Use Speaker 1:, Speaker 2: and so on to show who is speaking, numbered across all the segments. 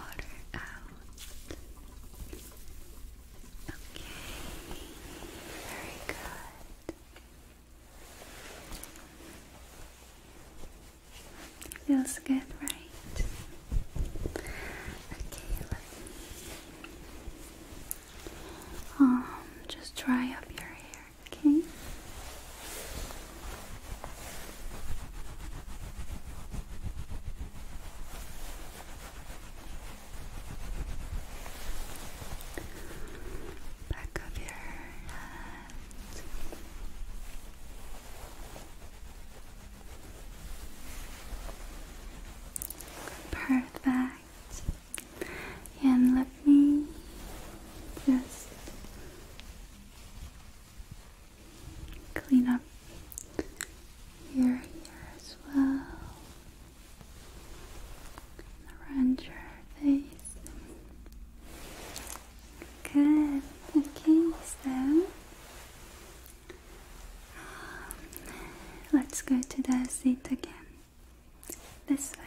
Speaker 1: Okay, very good. Feels good, right? Okay, um just dry up your hair, okay? Back of your head. Perfect. And let me just clean up here, here as well. Around your face. Good. Okay, so um, let's go to the seat again. This way.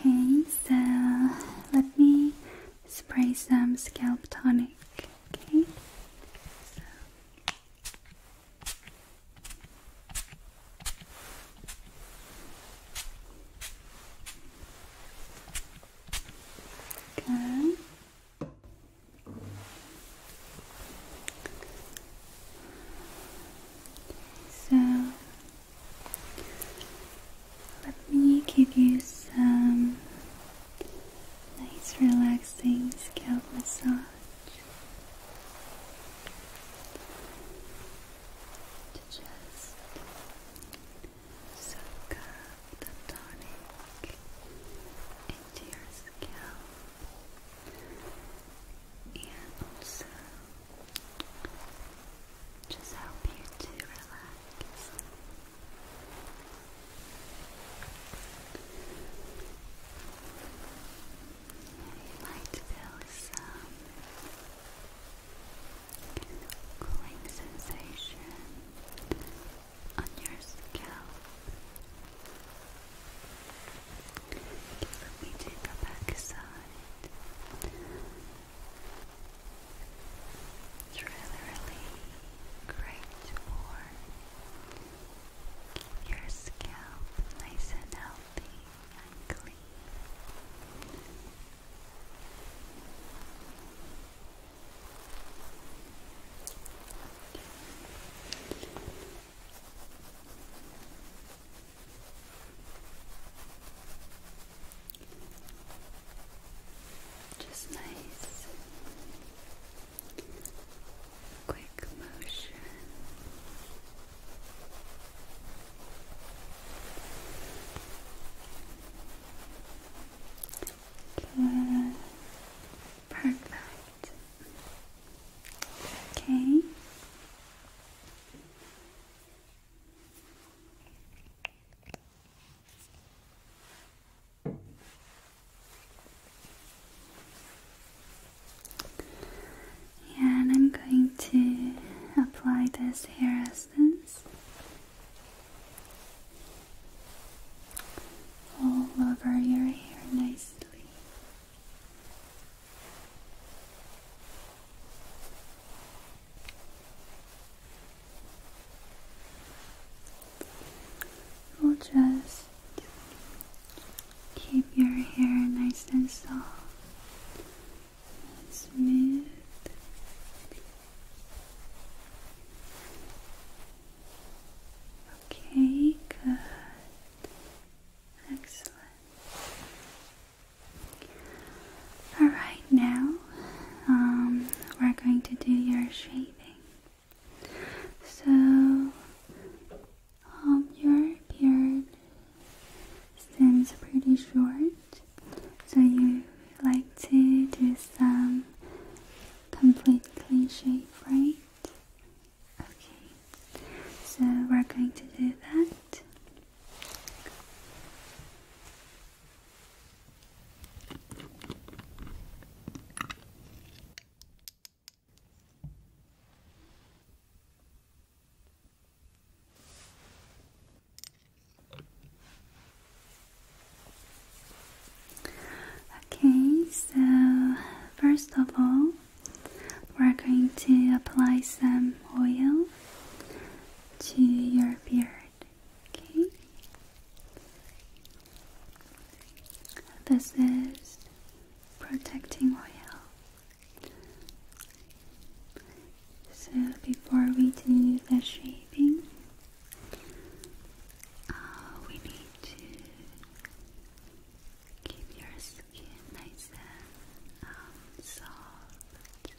Speaker 1: Okay, so let me spray some scalp tonic. Okay. So. So let me give you some nice, relaxing scalp massage. To just soak up the tonic into your scalp and also uh, just help you to relax. You might feel some cooling sensation on your scalp. let me do the back It's really, really great for keep your scalp nice and healthy and clean. Just nice quick motion. Good. Perfect. Okay. Yeah, and I'm going to apply this hair essence all over your hair nicely. We'll just keep your hair nice and soft smooth. Okay, good. Excellent. All right, now um, we're going to do your shaving. So, um, your beard seems pretty short. So you like to do some complete cliche, right? Okay, so we're going to do that. Okay, so first of all, we're going to apply some oil to your beard. Okay, this is protecting oil. So before we do the shaping, uh, we need to keep your skin nice and um, soft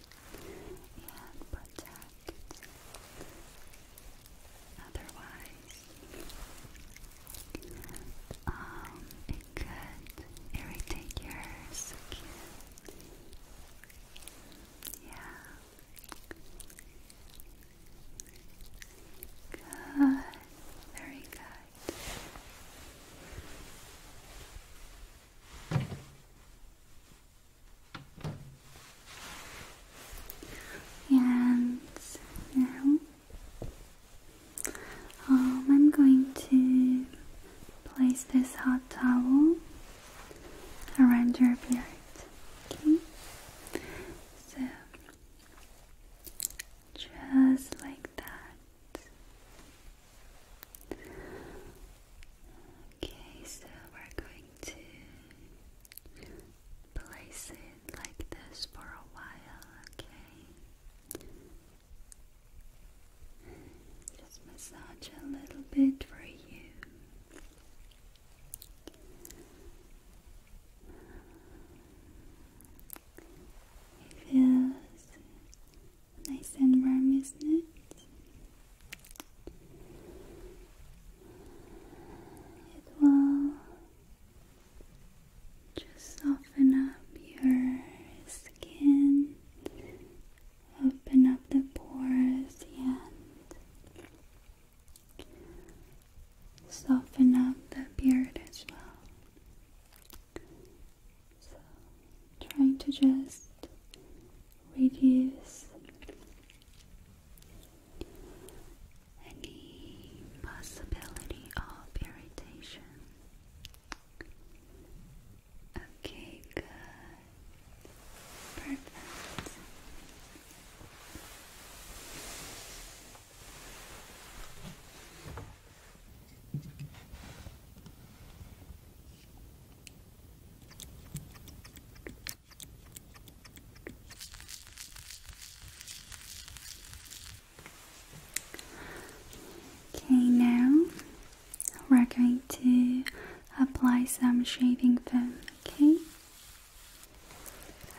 Speaker 1: and protected. Otherwise, um, it could irritate your skin yeah. Good. Very good. And now um, I'm going to Place this hot towel around your beard. Okay? So just like that. Okay, so we're going to place it like this for a while, okay? Just massage a little bit for you. It feels nice and warm, isn't it? It will just soften up your skin, open up the pores, and soften up the beard as well. So, trying to just reduce any possibility of irritation. Okay, good. Perfect. Okay, now we're going to apply some shaving foam, okay?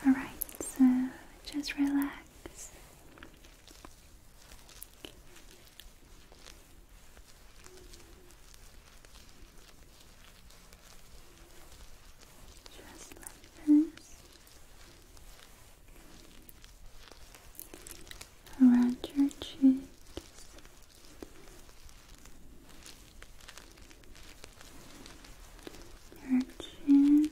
Speaker 1: Alright, so just relax. Just like this around your cheeks. Your chin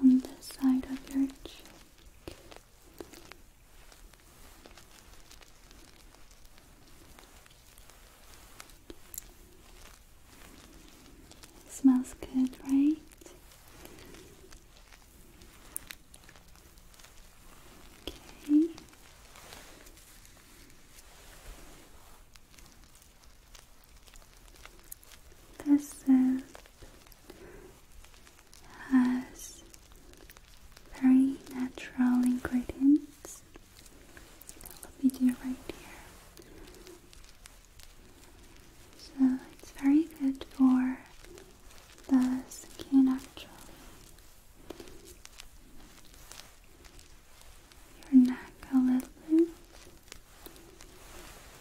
Speaker 1: on the side of your cheek, Smells good, right? Okay. This soap has very natural ingredients let me do it right here. So it's very good for the skin actually. Your neck a little bit.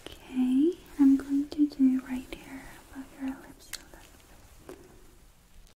Speaker 1: Okay, I'm going to do right here above your lips a little bit.